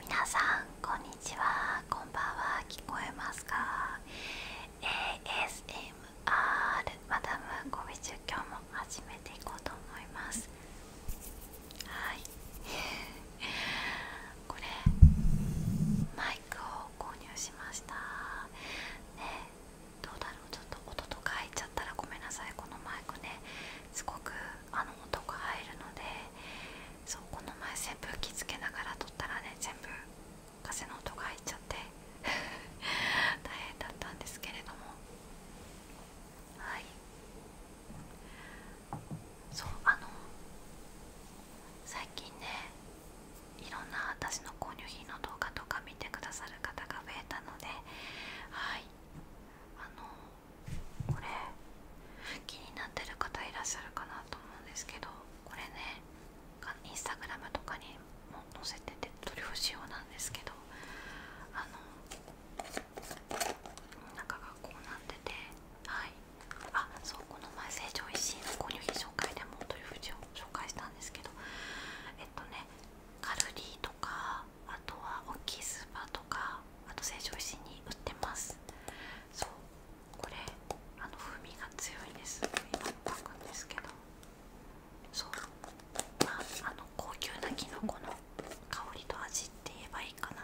皆さんこんにちはこんばんは聞こえますか ASMR マダムコミチュ今日も始めていこうと思いますはい これマイクを購入しましたねどうだろうちょっと音とか入っちゃったらごめんなさいこのマイクねすごくあの音が入るのでそうこの前扇風機つけながら撮ったらね全部風の音が入っちゃって 大変だったんですけれどもはいそうあの最近ねいろんな私の購入品の動画とか見てくださる方が増えたのではいあのこれ気になってる方いらっしゃるかなと思うんですけどこれねインスタグラムとかにも載せてて取り干し用なんですけどあの中がこうなっててはいあそうこの前成城石井の購入品紹介でもトリュフしを紹介したんですけどえっとねカルディとかあとはオキスバとかあと成城石に売ってますそうこれあの風味が強いです今炊くんですけどそうまああの高級なきのこの香りと味って言えばいいかな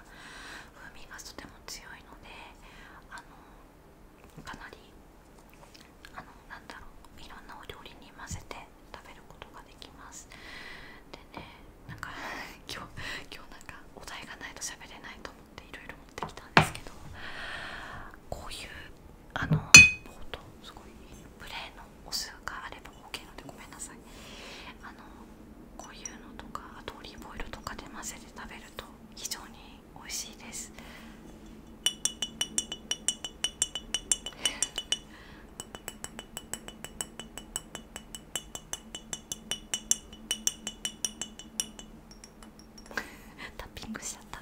風味がとても強いのであのかなりあのなんだろういろんなお料理に混ぜて食べることができますでねなんか 今日今日なんかお題がないと喋れないと思っていろいろ持ってきたんですけどこういうあのボートすごいプレーのお酢があれば OK なのでごめんなさいあのこういうのとかあとオリーブオイルとかで混ぜて食べると非常に美味しいです。タッピングしちゃった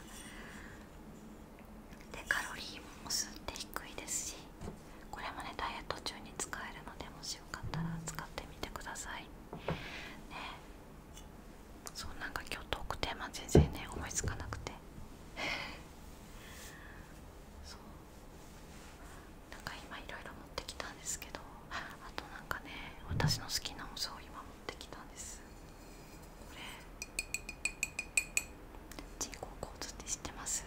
でカロリーもすって低いですしこれもねダイエット中に使えるのでもしよかったら使ってみてくださいねそうなんか今日トークテーマ全然ね思いつかなくて そうなんか今いろいろ持ってきたんですけどあと何かね私の好きなお酢を今持ってきたんですこれ人工構図って知ってます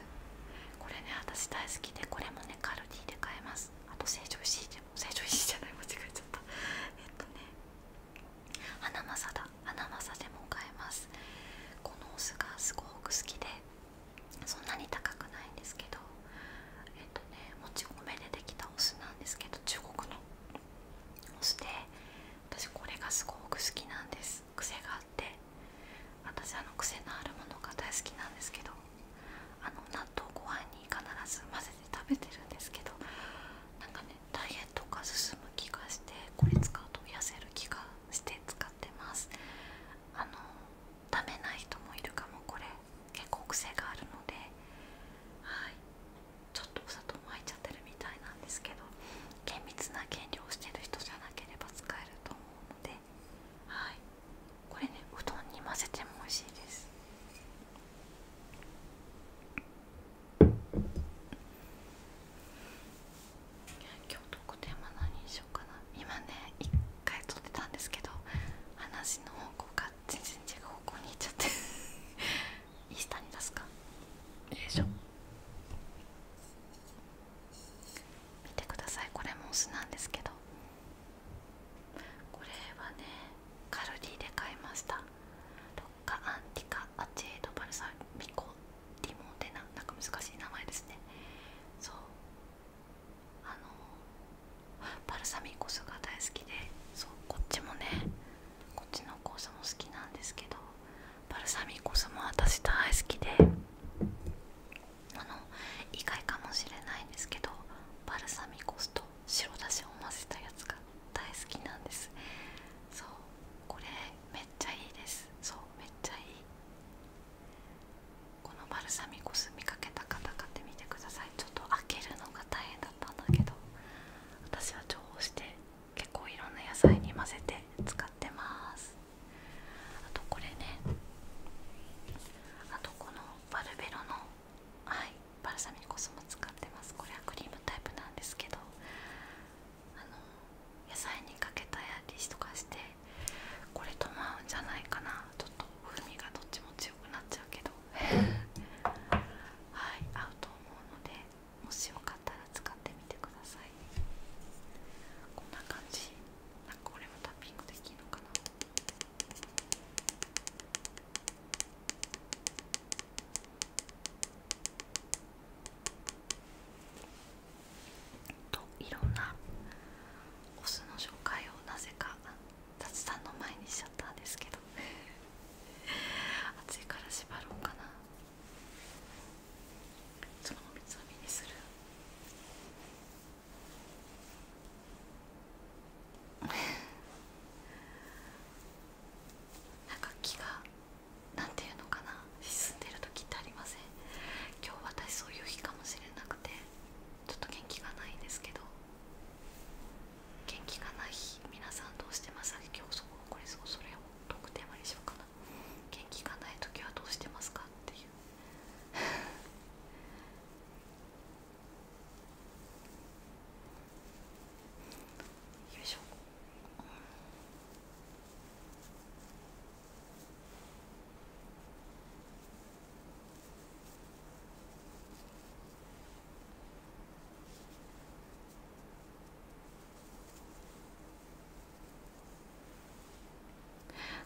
これね私大好きでこれもねカルディで買えますあと成城石井でも成城石井じゃない間違えちゃったえっとね花正だ花正でも買えますこのお酢がすごく好きでそんなに高くないんですけどえっとねもち米でできたお酢なんですけど中国のお酢で私これがすごく好きなんです癖があって私あの癖のあるものが大好きなんですけどあの納豆ご飯に必ず混ぜて食べてるんですけどなんかねダイエットが進む気がしてこれ使うと痩せる気がして使ってますあの食べない人もいるかもこれ結構癖があるので、はい、ちょっとお砂糖も入っちゃってるみたいなんですけど厳密な原料をしてる人じゃなければ使えると思うので、はい、これねうどんに混ぜても美味しいです。今日特典は何にしようかな今ね1回取ってたんですけど話の方向が全然違う方向に行っちゃって いい下に出すかよいしょ見てくださいこれもお酢なんですけどこれはねカルディで買いましたロッカアンティカアチェードバルサミコリィモテナなんか難しい名前ですねそうあのバルサミコ酢が大好きでそうこっちもねこっちのコースも好きなんですけどバルサミコ酢も私大好きであの意外かもしれないんですけどバルサミコ酢と白だしを混ぜたやつが大好きなんですそうこれめっちゃいいですそうめっちゃいいこのバルサミコ酢見かけた方買ってみてくださいちょっと開けるのが大変だったんだけど私は調合して結構いろんな野菜に混ぜて使ってますあとこれねあとこのバルベロのはいバルサミコ酢も使ってますこれはクリームタイプなんですけどあの野菜にかけたりとかしてこれとまうんじゃないかなちょっと風味がどっちも強くなっちゃうけど はい合うと思うのでもしよかったら使ってみてくださいこんな感じなんかこれもタッピングできるのかなといろんなお酢の紹介をなぜか雑談の前にしちゃったんですけど暑いから縛ろうかなそのお水飲みにする なんか気がなんていうのかな進んでる時ってありません今日私そういう日かもしれなくてちょっと元気がないんですけど元気がない日皆さんどうしてます今日そここれそうそれをトークテーマにしようかな元気がない時はどうしてますかっていうよいしょ、うん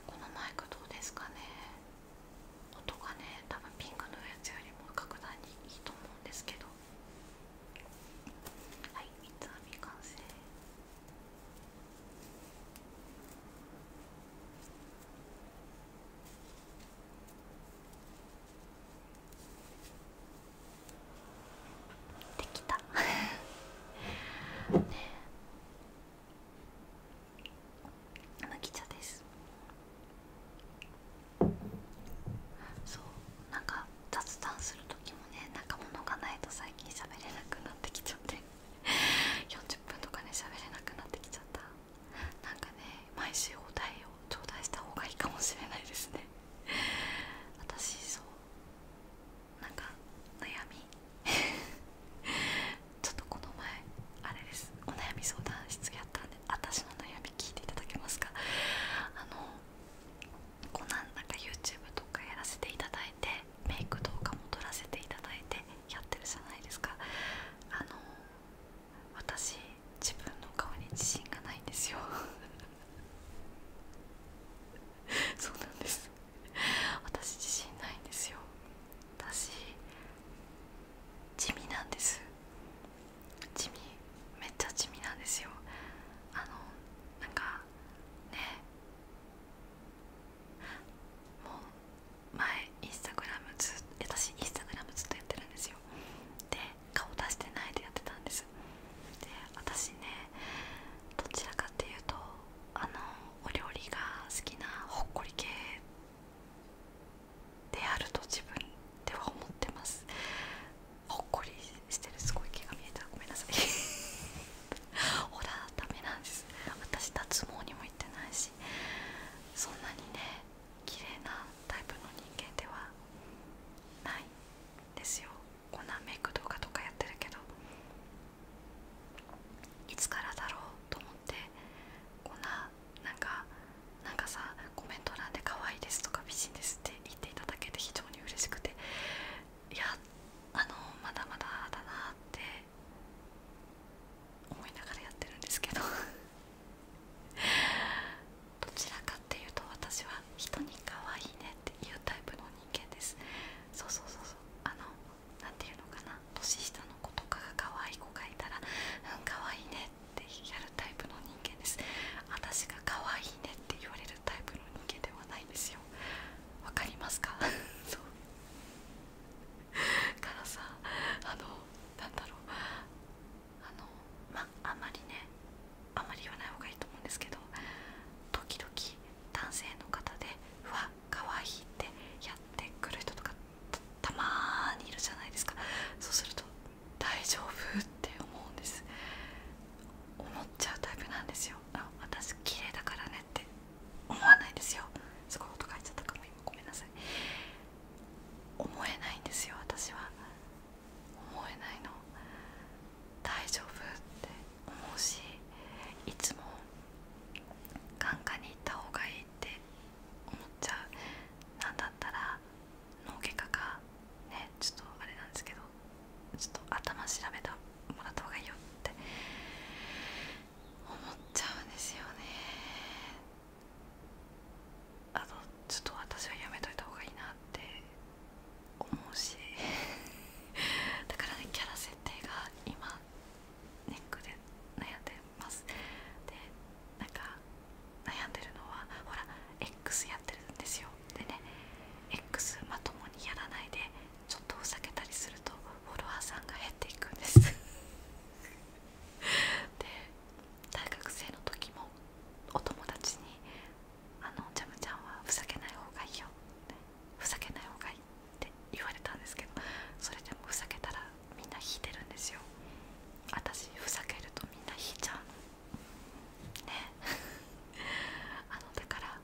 このマイクどうですかね音がね多分ピンクのやつよりも格段にいいと思うんですけどはい三つ編み完成こできた ね麦茶ですそうなんか雑談する時もねなんか物がないと最近しゃべれなくなってきちゃって40 分とかねしゃべれなくなってきちゃったなんかね毎週お題を頂戴した方がいいかもしれないですね私そうなんか悩み ちょっとこの前あれですお悩み相談室やったんで私の悩み聞いていただけますかあのこうなんなか YouTube とかやらせていただいてメイク動画も撮らせていただいてやってるじゃないですかあの私自分の顔に自信がないんですよ そうなんです私自信ないんですよ私地味なんです地味めっちゃ地味なんですよあのなんかねもう前インスタグラムず私インスタグラムずっとやってるんですよで顔出してないでやってたんですで私ねどちらかっていうとあのお料理が好きなほっこり系であると自分では思ってますほっこりしてるすごい毛が見えたらごめんなさいほ らダメなんです私脱毛にも行ってないしそんなにね綺麗なタイプの人間ではないですよこんなメイク動画とかやってるけどいつからだろうと思ってこんななんかなかさコメント欄で可愛いですとか美人ですって言っていただけて非常に嬉しくていやあのまだまだだなって思いながらやってるんですけど どちらかっていうと私は人に可愛いねっていうタイプの人間ですそうそうそうそうあの何て言うのかな年下の子とかが可愛い子がいたらうん可愛いねってやるタイプの人間です私が可愛いねって言われるタイプの人間ではないんですよわかりますか からさあのなんだろうあのまあんまりねあんまり言わない方がいいと思うんですけど時々男性の方で「うわ可愛いってやってくる人とかたまにいるじゃないですかそうすると「大丈夫?」って思うんです思っちゃうタイプなんですよあ私綺麗だからねって思わないですよすごい音書いちゃったかも今ごめんなさい思えないんですよ私は思えないの大丈夫って思うしいつも眼科に行った方がいいって思っちゃう何だったら脳外科かねちょっとあれなんですけどちょっと頭調べたもらった方がいいよって思っちゃうんですよねあのちょっと私はやめといた方がいいなって思うし だからねキャラ設定が今ネックで悩んでますでなんか悩んでるのはほら X やってるんですよでね X まともにやらないでちょっとふざけたりするとフォロワーさんが減っていくんです で大学生の時もお友達に「あのジャムちゃんはふざけない方がいいよ」ってふざけない方がいいって言われたんですけどそれでもふざけたらみんな引いてるんですよ私ふざけるとみんな引いちゃうね あのだから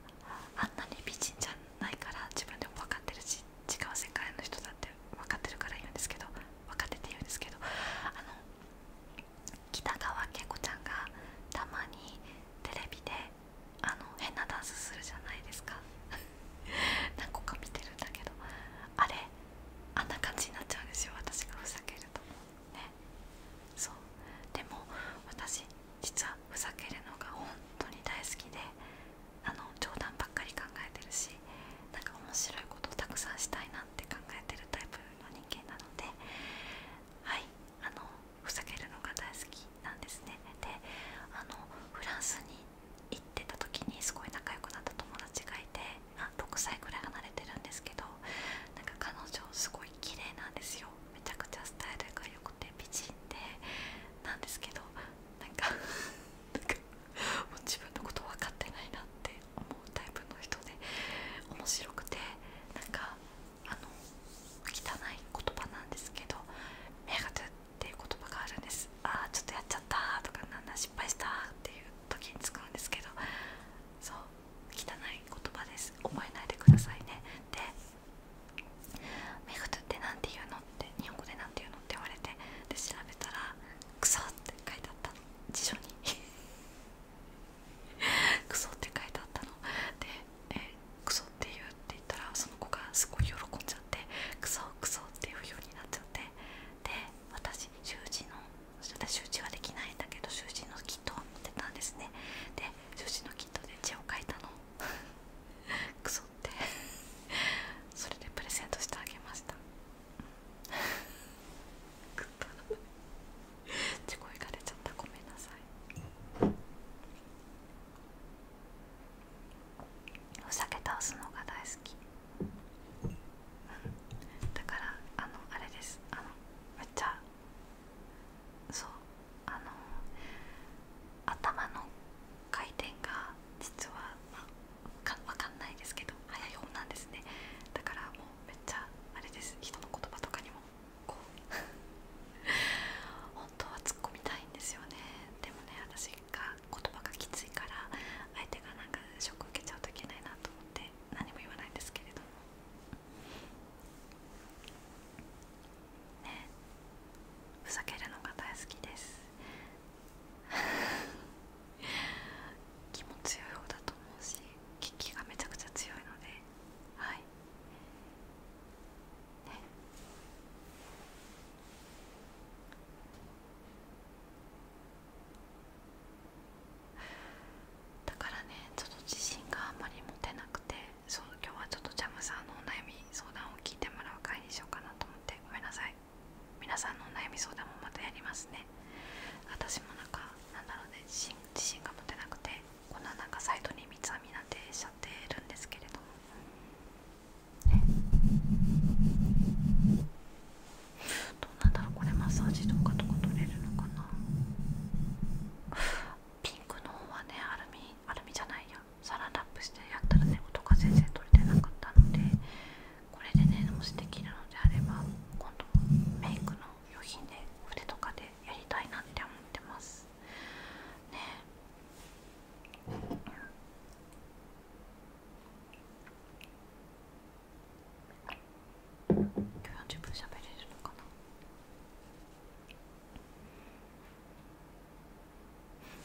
あんなに美人じゃないから自分でも分かってるし違う世界の人だって分かってるから言うんですけど分かってて言うんですけどあの北川景子ちゃんがたまにテレビであの変なダンスするじゃないですか 何個か見てるんだけどあれあんな感じになっちゃうんですよ私がふざけるとねそうでも私実はふざけるのが本当に大好きであの冗談ばっかり考えてるしなんか面白いことをたくさんしたいなって考えてるタイプの人間なのではいあのふざけるのが大好きなんですねであのフランスに行ってた時にすごい仲良くなった友達がいてあ6歳くらい離れてるんですけどなんか彼女すごい綺麗なんですよめちゃくちゃスタイルが良くて美人でなんですけどなんか自分のこと分かってないなって思うタイプの人で面白くてなんかあの汚い言葉なんですけど「目が出っていう言葉があるんです「ああちょっとやっちゃった」とか「なんなだ失敗した」っていう時に使うんですけどそう汚い言葉です覚えないでくださいねで「メガトって何て言うの?」って日本語で何て言うのって言われてで調べたら「クソ」って書いてあったん辞書に クソって書いてあったので、えー、クソって言うって言ったらその子がすごい喜んじゃってクソクソっていうようになっちゃってで私習字の私習字はできないんだけど習字のキットは持ってたんですねで習字のキットで字を書いたの クソってそれでプレゼントしてあげましたくだらないちこいかれちゃったごめんなさいお酒倒すのが大好きだからあのあれですあのめっちゃそうあの頭の回転が実は、まあ、か分かんないですけど早い女なんですねだからもうめっちゃあれです人の言葉とかにもこう 本当は突っ込みたいんですよねでもね私が言葉がきついから相手がなんかショック受けちゃうといけないなと思って何も言わないんですけれどもねふざけるのが大好きです 気も強い方だと思うしキ気がめちゃくちゃ強いのではいねだからねちょっと自信があんまり持てなくてそう今日はちょっとジャムさんのお悩み相談を聞いてもらう会にしようかなと思ってごめんなさい皆さの悩み相談もまたやりますね私もなんかなんだろうね自信が持てなくてこんななんかサイトに三つ編みなんてしちゃってるんですけれどもねどうなんだろうこれマッサージとかとか取れるのかなピンクの方はねアルミアルミじゃないやサランラップしてやったらね音が全然取れてなかったのでこれでねもしできるのであれば今度メイクの良品で筆とかでやりたいなって思ってますね今日40分しゃべれるのかな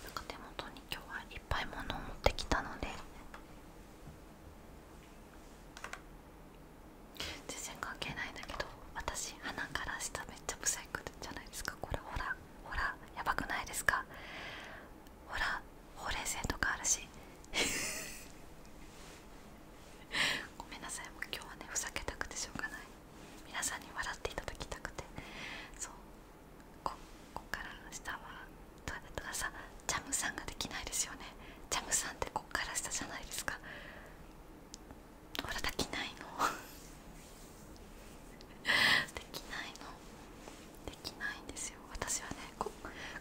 なんか手元に今日はいっぱい物を持ってきたので全然関係ないんだけど私鼻から下めっちゃブサイクじゃないですかこれほらほらやばくないですかほらほうれい線とかあるし ごめんなさいもう今日はねふざけたくてしょうがない皆さんに笑っていただきたくてそうここから下はとかだったさジャムさんができないですよねジャムさんってこっから下じゃないですかほらできないの できないのできないんですよ私はねこ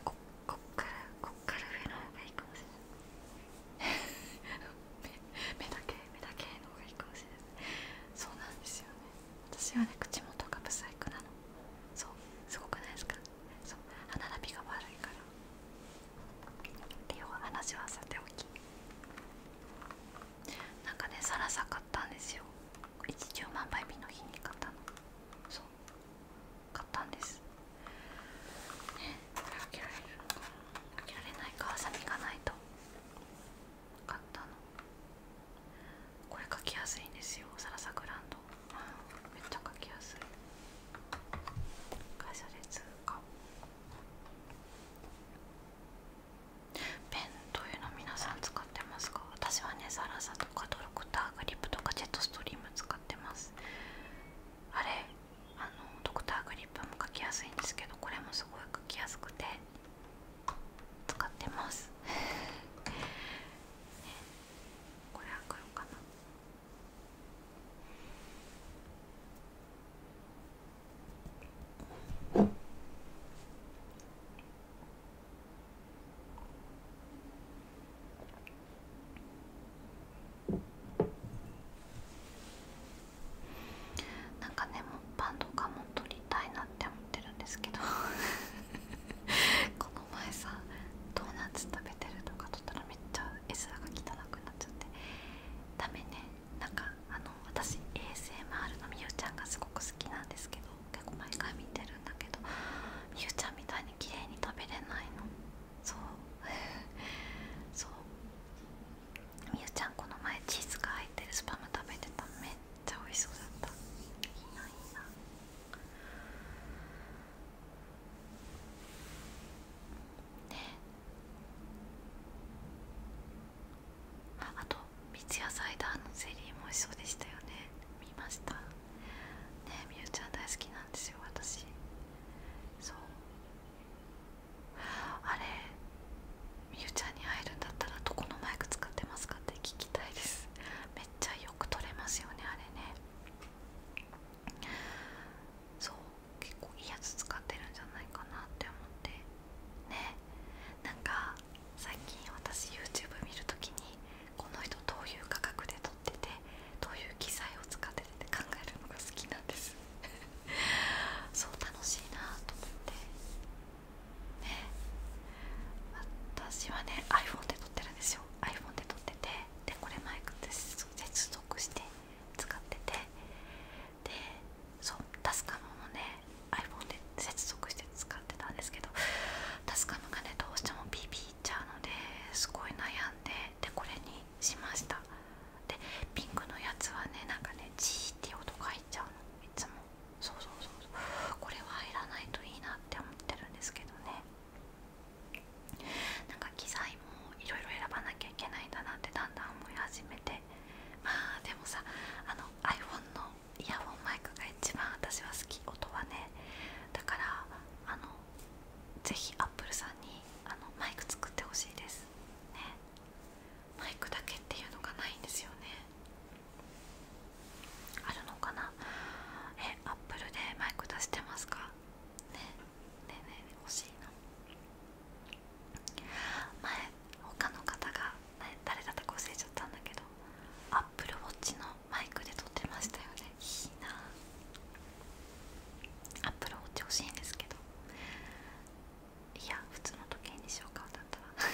ここっからこっから上の方がいいかもしれない 目だけ目だけの方がいいかもしれないそうなんですよね私はね口元が不細工なのそうすごくないですかそう歯並びが悪いからってい話はさておきなんかねサラサ買ったんですよ一十万倍日の日に買ったのそう買ったんですね開けられるかけられないかハサミがないと買ったのこれ書きやすいんですよサラサグランド、めっちゃ書きやすい会社で通過ペンというの皆さん使ってますか私はねサラサとかドクターグリップとかジェットストリーム使ってますあれあのドクターグリップも書きやすいんですけどこれもすごい書きやすくて使ってます、これは黒かななんかねもっぱンとかも取りたいなって思ってるんですけど お前さドーナツ食べてるとか取ったらめっちゃ絵面が汚くなっちゃってダメねなんかあの私 ASMR のみゆちゃんがすごく好きなんですけど結構毎回見てるんだけどみゆちゃんみたいに綺麗に食べれないのそうそうみゆちゃんこの前チーズが入ってるスパム食べてためっちゃ美味しそうだったいいないいなああと三ツ矢サイダーのゼリーも美味しそうでしたよね見ましたねみゆちゃん大好きなんですよ私そうあれみゆちゃんに会えるんだったらどこのマイク使ってますかって聞きたいですめっちゃよく撮れますよねあれねそう結構いいやつ使ってるんじゃないかなって思ってねなんか最近私 YouTube 見る時にこの人どういう価格で撮っててどういう機材を使ってて考えるのが好きなんです そう楽しいなと思ってね私はね iPhone で撮ってるんですよ iPhone で撮っててでこれって接続して使っててでそうタスカムもね iPhone で接続して使ってたんですけどタスカムがねどうしてもビビっちゃうのですごい悩んででこれにしましたでピンクのやつはねなんかねジーって音が入っちゃうのいつもそうそうそうそうこれは入らないといいなって思ってるんですけどねなんか機材もいろいろ選ばなきゃいけないんだなってだんだん思い始めてまあでもさあの iPhone のイヤホンマイクが一番私は好き音はねだからあのぜひ Apple さんにあのマイク作ってほしいですねマイクだけっていうのがないんですよねあるのかなえアップルでマイク出してますかねねえねえねえ、欲しいの。前他の方が、ね、誰だったか忘れちゃったんだけどアップルウォッチのマイクで撮ってましたよねいいなアップルウォッチ欲しいんですけどいや普通の時計にしようかだったら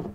ね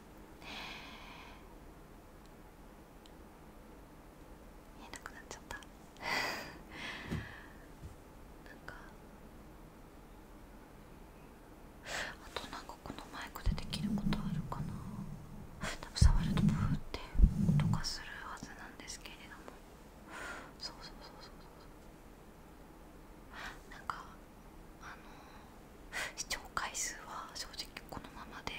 見えなくなっちゃったなんかあとなんかこのマイクでできることあるかな多分触るとブーって音がするはずなんですけれどもそうそうそうそうそうなんかあの視聴回数は正直このままで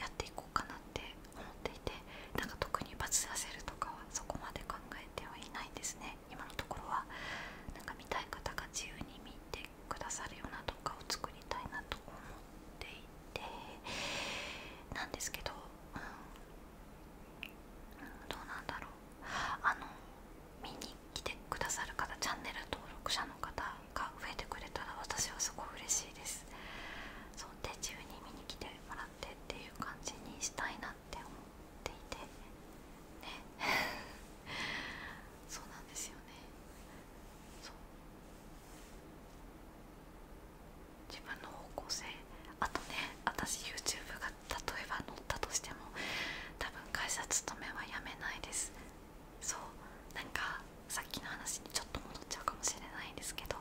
やっていこうかなって思っていてなんか特にバズらせるとかはそこまで考えてはいないんですね今のところはなんか見たい方が自由に見てくださるような動画を作りたいなと思っていてなんですけど、うんどうなんだろうあのミニ来てくださる方チャンネル登録者の方が増えてくれたら私はすごい嬉しいですそうで自由に見に来てもらってっていう感じにしたいなって思っていてね そうなんですよねそう自分の方向性あとね私 YouTube が例えば載ったとしても多分会社勤めはやめないですそうなんかさっきの話にちょっと戻っちゃうかもしれないんですけど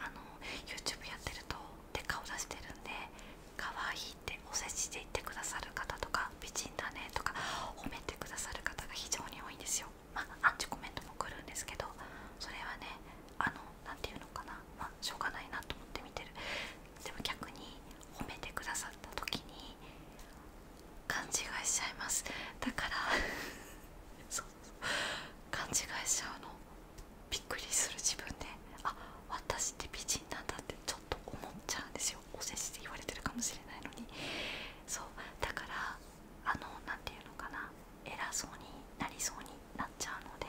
あの YouTube やってるとで顔出してるんで可愛いってお世辞で言ってくださる方とか美人だねとか褒めてくださる方が非常に多いんですよまあアンチコメントも来るんですけどそれはねあの何て言うのかなまあしょうがないなと思って見てるでも逆に褒めてくださった時に勘違いしちゃいますだから 勘違いしちゃうのびっくりする自分であ私って美人なんだってちょっと思っちゃうんですよお世辞で言われてるかもしれないのにそうだからあの何て言うのかな偉そうになりそうになっちゃうので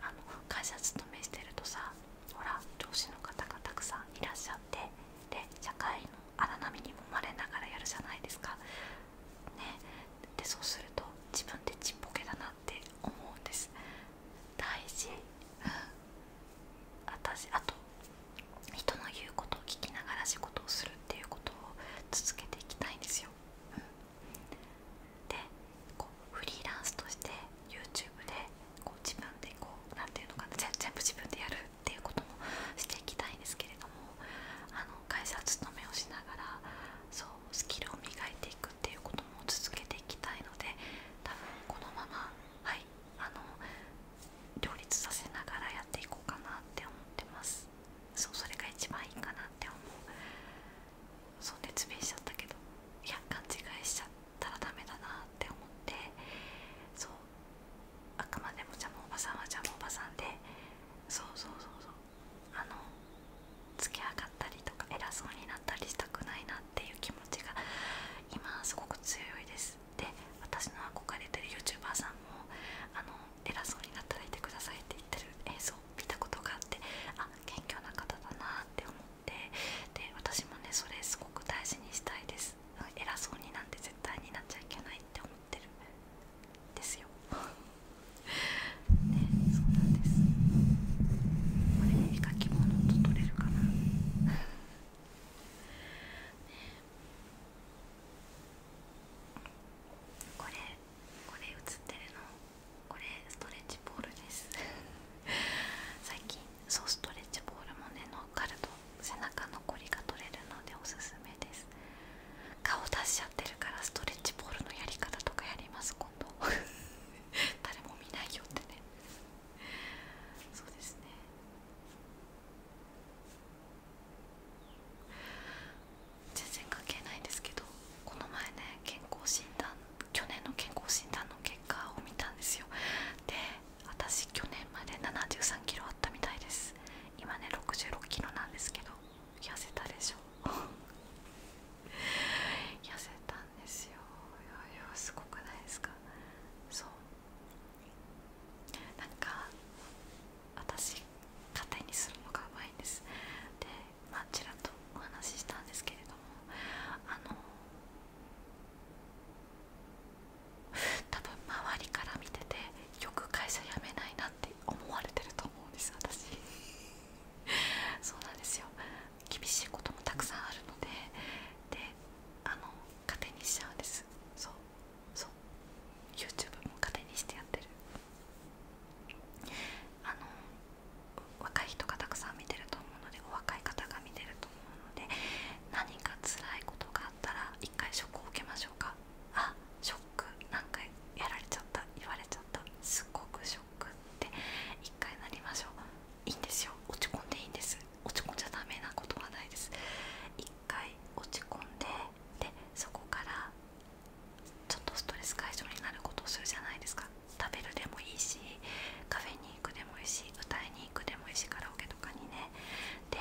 あの会社勤めしてるとさほら上司の方がたくさんいらっしゃってで社会の荒波にもまれながらやるじゃないですかねでそうすると自分でちっぽけだなって思うんです大事、うん、私あと人の言うことを聞きながら仕事をするっていうことを続けていきたいんですよ、うん、でこうフリーランスとして YouTube でこう自分でこう何て言うのかな全部自分でやるっていうこともしていきたいんですけれどもあの会社勤めをしながらそうスキルを磨いていくっていうことも続けていきたいので多分このままはいあの両立させながらやっていこうかなって思ってますそうそれが一番いいかなって思うそう熱弁しちゃったけどいや勘違いしちゃったらダメだなって思ってそうあくまでもジャムおばさんはジャムおばさんでそうそうそうそうあのつき上がったりとか偉そうになったりしたくないなっていう気持ちが今すごく強いですで私の憧れてる YouTuber さんもあの偉そうになったらいてくださいって言ってる映像を見たことがあってあ謙虚な方だなって思ってで私もねそれすごく大事にしたいです偉そうになんて絶対になっちゃいけないって思ってるですよ ねそうなんですこれ絵描き物と取れるかな これこれ映ってるのこれストレッチポールです 最近そうストレッチボールもね乗っかると背中のこりが取れるのでおすすめです顔出しちゃってるからストレッチボールのやり方とかやりますこと。誰も見ないよってねそうですね全然関係ないですけどこの前ね健康診断去年の健康診断の結果を見たんですよで私去年まで73キロあったみたいです今ね66キロなんですけど痩せたでしょ 痩せたんですよいやすごくないですかそうなんか私糧にするのがうまいんですでまあちらっとお話ししたんですけれどもあの多分周りから見ててよく会社辞めないなって思われてると思うんです私そうなんですよ厳しいこともたくさんあるのでであの糧にしちゃうんですそうそう YouTube も勝手にしてやってるあの若い人がたくさん見てると思うのでお若い方が見てると。とので何か辛いことがあったら一回ショックを受けましょうかあショック何回やられちゃった言われちゃったすっごくショックって一回なりましょういいんですよ落ち込んでいいんです落ち込んじゃダメなことはないです一回落ち込んででそこからちょっとストレス解消になることをするじゃないですか食べるでもいいしカフェに行くでもいいし歌いにに行くでもいいしカラオケとかにねで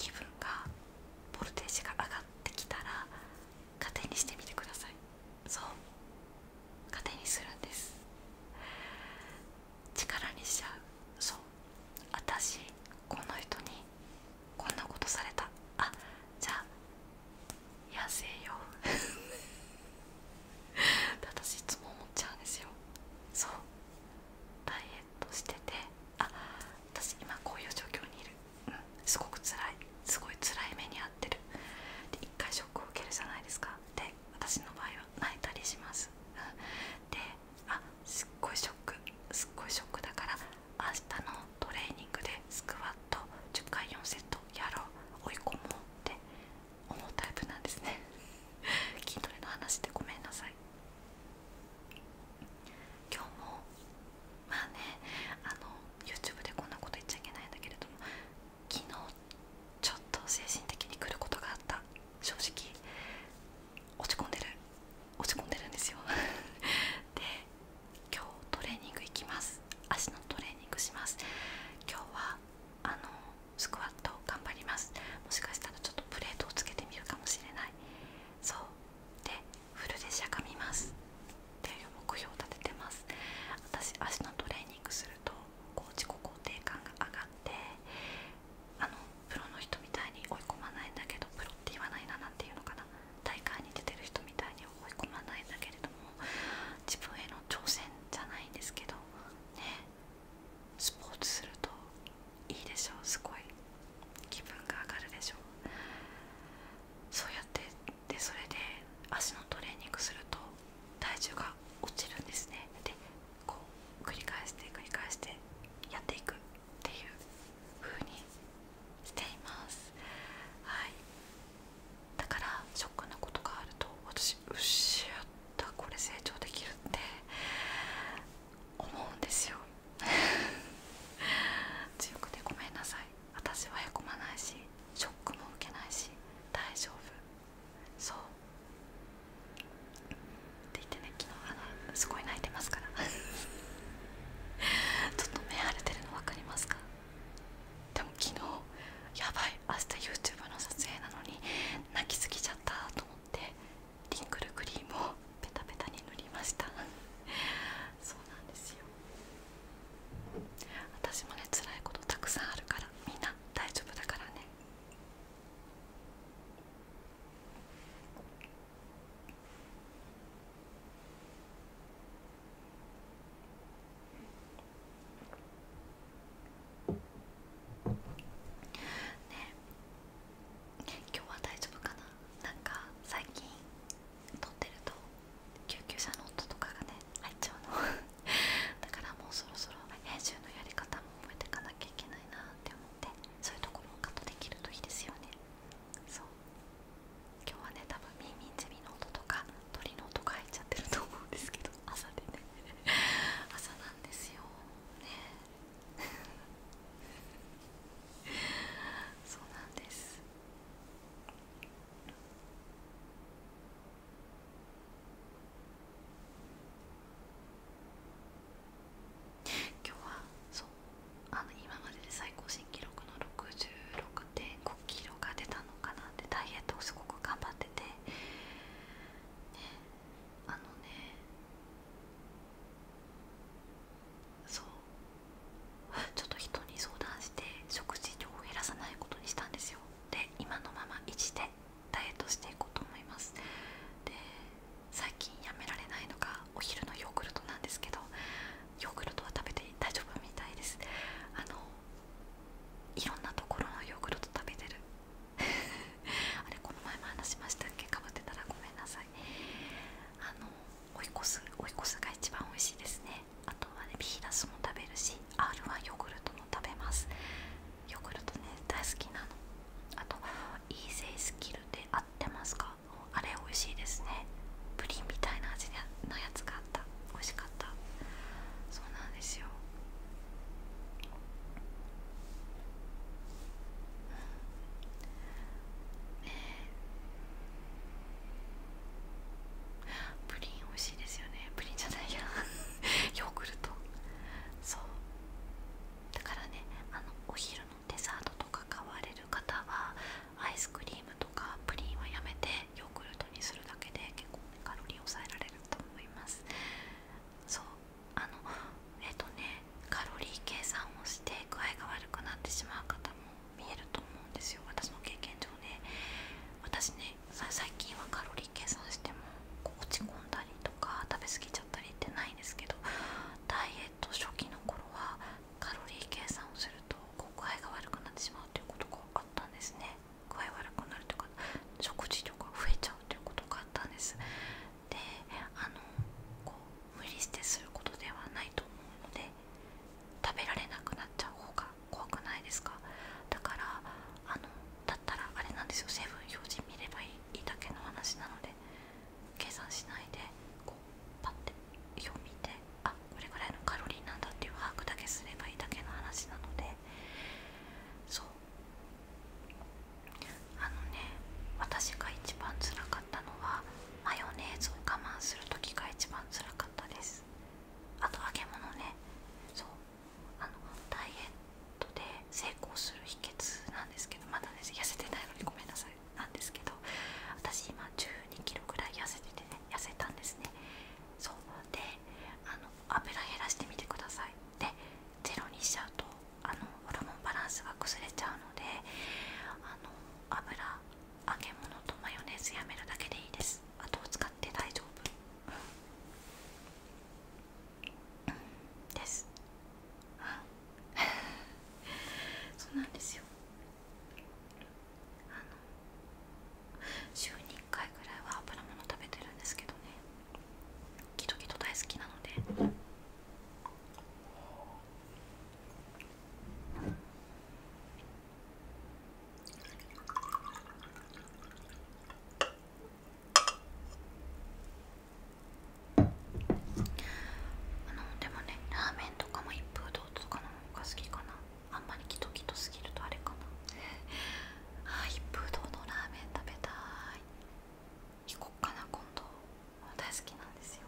気分がボルテージが上がってきたら勝手にしてみてくださいそう勝手にするんです力にしちゃうそう私この人にこんなことされたあじゃあ野生よ 私いつも思っちゃうんですよとしててあ私今こういう状況にいる、すごく辛いすごい辛い目に遭ってるで一回ショックを受けるじゃないですかで私の場合は泣いたりします、うん、であすっごいショックすっごいショックだから明日のトレーニングでスクワット10回4セットやろう追い込もうって思うタイプなんですね 筋トレの話でごめんなさい今日もまあねあの YouTube でこんなこと言っちゃいけないんだけれども昨日ちょっと精神的に来ることがあった正直落ち込んでる落ち込んでるんですよ で今日トレーニング行きます足のトレーニングします今日はあのスクワット頑張りますもしかしたらちょっとプレートをつけてみるかもしれないそうでフルでしゃがみますっていう目標を立ててます私足のトレーニングするとこう自己肯定感が上がってあのプロの人みたいに追い込まないんだけどプロって言わないななんていうのかな大会に出てる人みたいに追い込まないんだけれども自分への挑戦じゃないんですけどねスポーツするといいでしょうすごい気分が上がるでしょうそうやってでそれで足のトレーニングすると体重が落ちるんですねでこう繰り返して繰り返してやっていくっていう風にしていますはいだからショックなことがあると私うっしゃったこれ成長できるって思うんですよ強くてごめんなさい私はへこまないしショックも受けないし大丈夫そうって言ってね昨日あのすごい泣いてますから ちょっと目腫れてるの分かりますかでも昨日やばい明日 YouTube の撮影なのに泣きすぎちゃったと思ってリンクルクリームをペタペタに塗りました そうなんですよ私もね辛いことたくさんあるからみんな大丈夫だからねね今日は大丈夫かななんか最近撮ってると救急車の音とかがね入っちゃうの だからもうそろそろ編集のやり方も覚えていかなきゃいけないなって思ってそういうところもカットできるといいですよねそう今日はね多分ミンミンゼミの音とか鳥の音が入っちゃってると思うんですけど朝でね 朝なんですよねそうなんです今日はそうあの今までで最高新記録の66.5キロが出たのかなってダイエットをすごく頑張ってて、ね、あのねそう ちょっと人に相談して食事量を減らさないことにしたんですよで今のまま維持でダイエットしていこうと思いますで最近やめられないのがお昼のヨーグルトなんですけどヨーグルトは食べて大丈夫みたいですあのいろんなところのヨーグルト食べてる あれこの前も話しましたっけかぶってたらごめんなさいあの追い越す追い越すが一番美味しいですねあとはねビーダスも食べるし R はヨーグルトも食べますヨーグルトね大好きなのあとイーゼイスキルで合ってますかあれ美味しいですねプリンみたいな味のやつがあった美味しかったそうなんですよプリン美味しいですよねプリンじゃないや ヨーグルトそうだからねあのお昼のデザートとか買われる方はアイスクリームとかプリンはやめてヨーグルトにするだけで結構、ね、カロリー抑えられると思いますそうあのえっ、とねカロリー計算をして具合が悪くなってしまう方も見えると思うんですよ私の経験上ね私ね最近はカロリー計算しても落ち込んだりとか食べ過ぎちゃったりってないんですけどダイエット初期の頃はカロリー計算をすると具合が悪くなってしまうということがあったんですね具合悪くなるというか食事量が増えちゃうということがあったんですであのこう無理してすることではないと思うので食べられなくなっちゃう方が怖くないですかだからあのだったらあれなんですよ成分表示見ればいいだけの話なので計算しないでこうパッて表見てあこれぐらいのカロリーなんだっていう把握だけすればいいだけの話なのでそうあのね私が一番辛かたのはマヨネーズを我慢する時が一番つらかったですあと揚げ物ねそうあのダイエットで成功する秘訣なんですけどまだね痩せてないのでごめんなさいなんですけど私今1 2キロぐらい痩せててね痩せたんですねそうであの油減らしてみてくださいでゼロにしちゃうとあのホルモンバランスが崩れちゃうのであの油揚げ物とマヨネーズやめるだけでいいですあとを使って大丈夫です、そうなんですよあの週に1回ぐらいは油物食べてるんですけどねギトギト大好きなのであのでもねラーメンとかも一風堂とかのほうが好きかなあんまりキトキトすぎるとあれかなあ一風堂のラーメン食べたい行こっかな今度大好きなんですよ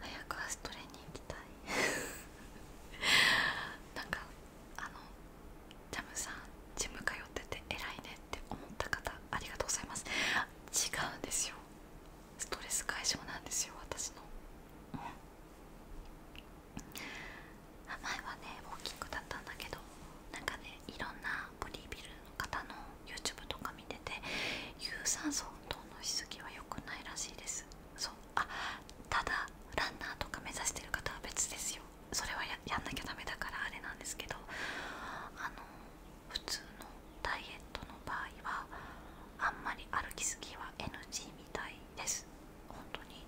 早くアストレに行きたい なんかあのジャムさんジム通ってて偉いねって思った方ありがとうございます違うんですよストレス解消なんですよ私の、うん、前はねウォーキングだったんだけどなんかねいろんなボディビルの方の YouTube とか見てて有酸素運動のしすぎは良くないらしいですそうあただランナーとか目指してる方は別ですよそれはややんなきゃダメだからあれなんですけどあの普通のダイエットの場合はあんまり歩きすぎは NG みたいです本当に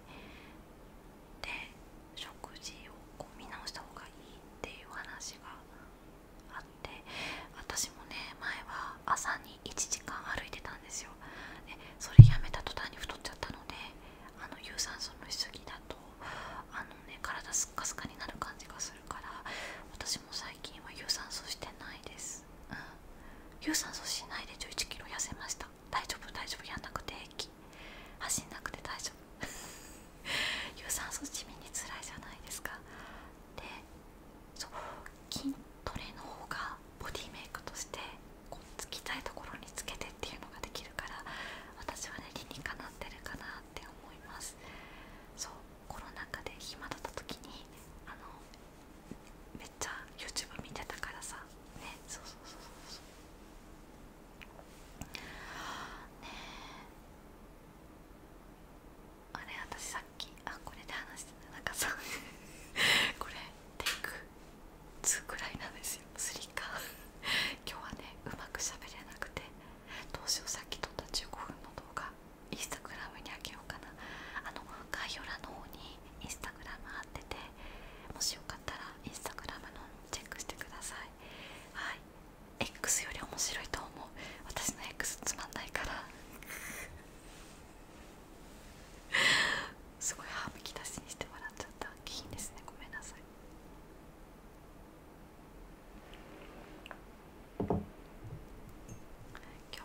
で食事をこう見直した方がいいっていう話があって私もね前は朝に1時間歩いてたんですよでそれやめた途端に太っちゃったのであの有酸素のしすぎだとあのね体スッカスカになる感じがするから私も最近は有酸素してないです、うん有酸素しないで1 1キロ痩せました大丈夫大丈夫やんなくて駅走んなくて大丈夫有酸素地味に辛いじゃないですかでそう筋トレの方がボディメイクとしてこうつきたいところにつけてっていうのができるから私はね理にかなってるかなって思いますそうコロナ禍で暇だった時にあのめっちゃ YouTube 見てたからさねそうそうそうそうそうねあれ私さっきあこれで話してたなんかさ これテイク2くらいなんですよ3か今日はねうまくしゃべれなくてどうしようさっき撮った15分の動画インスタグラムにあげようかなあの概要欄の方にインスタグラム貼っててもしよかったらインスタグラムのチェックしてくださいはい X より面白いと思う私の X つまんないから すごい歯むき出しにしてもらっちゃった気品ですねごめんなさい今日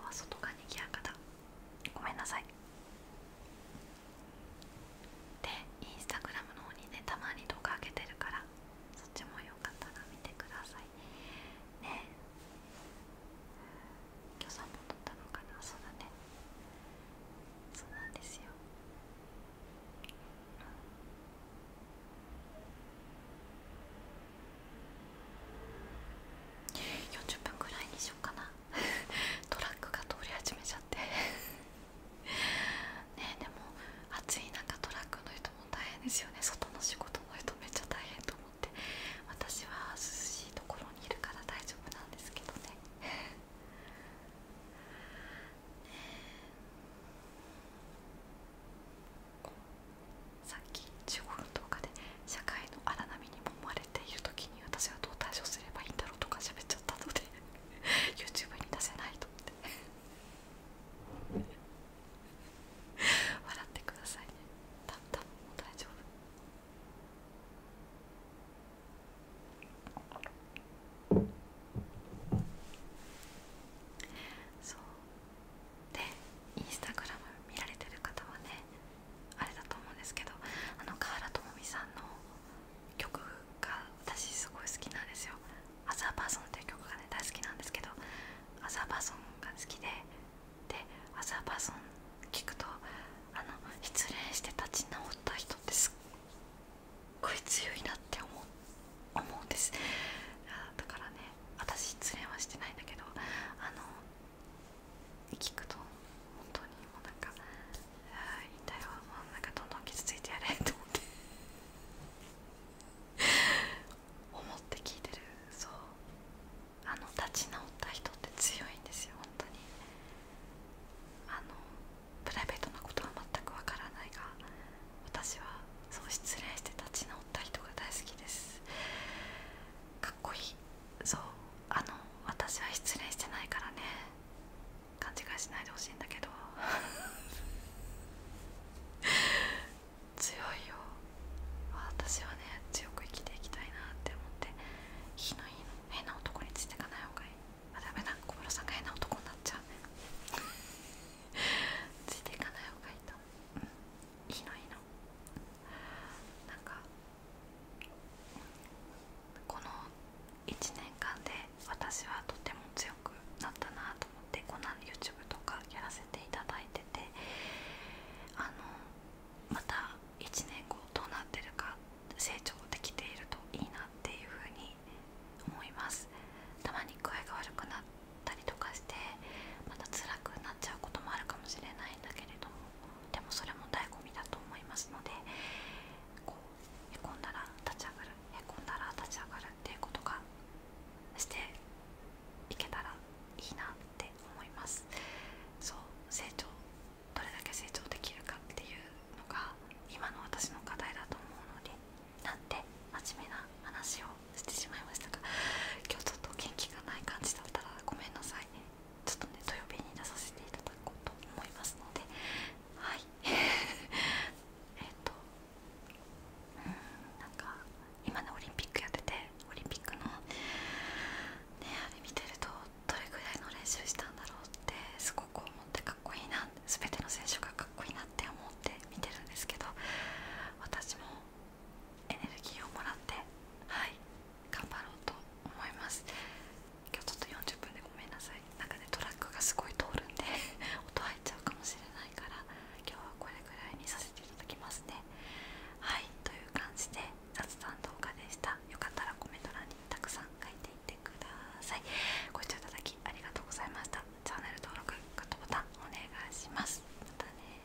は外がにぎやかだごめんなさいでインスタグラムの方にねたまに動画上げてるからそっちもよかったら見てくださいねえ今日3本撮ったのかなそうだねそうなんですよ、うん、40分ぐらいにしようかな トラックが通り始めちゃって ねでも暑い中トラックの人も大変ですよね外の仕事の人めっちゃ大変と思って私は涼しいところにいるから大丈夫なんですけどね ねえさっき15分の動画で社会の荒波に揉まれている時に私はどう対処すればいいんだろうとか喋っちゃったので YouTube に出せないと思って笑ってくださいねた多分もう大丈夫そうでインスタグラム見られてる方はねあれだと思うんですけどあの河原智美さんの曲が私すごい好きなんですよ「アザーパーソン」っていう曲がね大好きなんですけどアザーパーソンが好きででアザーパーソン聞くとあの失恋して立ち直った人ってすっごい強いなって思うんですだからね私失恋はしてないんだけどあの聞くと本当にもうなんか「ああいいんもうなんかどんどん傷ついてやれ」と思って思って聞いてるそうあの立ち直った人って強いんですよ本当にあのプライベートなことは全くわからないが私はそう失恋して立ち直った人が大好きですかっこいいそうあの私は失恋してないからね勘違いしないでほしいんだけど 強いよ私はね強く生きていきたいなって思って火のいいの変な男についていかない方がいいあダメだ小室さんが変な男になっちゃうね。ついていかない方がいいと、うのいいのなんかこの1年間で私はとても強くなったなと思ってこんな YouTube とかやらせていただいててあのまた1年後どうなってるか成長できているといいなっていうふに思いますたまに具合が悪くなったりとかしてまた辛くなっちゃうこともあるかもしれないんだけれどもでもそれも醍醐味だと思いますのでこうへこんだら立ち上がるへこんだら立ち上がるっていうことがしていけたらいいなって思いますそう成長どれだけ成長できるかっていうのが今の私の課題だと思うのでなんて真面目な話をしてしまいましたが今日ちょっと元気がない感じだったらごめんなさいちょっとね、土曜日に出させていただこうと思いますので、はい、えっと、うん、なんか、今ね、オリンピックやってて、オリンピックの、ね、あれ見てると、どれぐらいの練習したんだろうって、すごく思って、かっこいいな、すべての選手がかっこいいなって思って見てるんですけど、私も。エネルギーをもらってはい頑張ろうと思います今日ちょっと40分でごめんなさいなんかねトラックがすごい通るんで 音入っちゃうかもしれないから今日はこれぐらいにさせていただきますねはいという感じで雑談動画でしたよかったらコメント欄にたくさん書いていってくださいご視聴いただきありがとうございましたチャンネル登録グッドボタンお願いしますまたね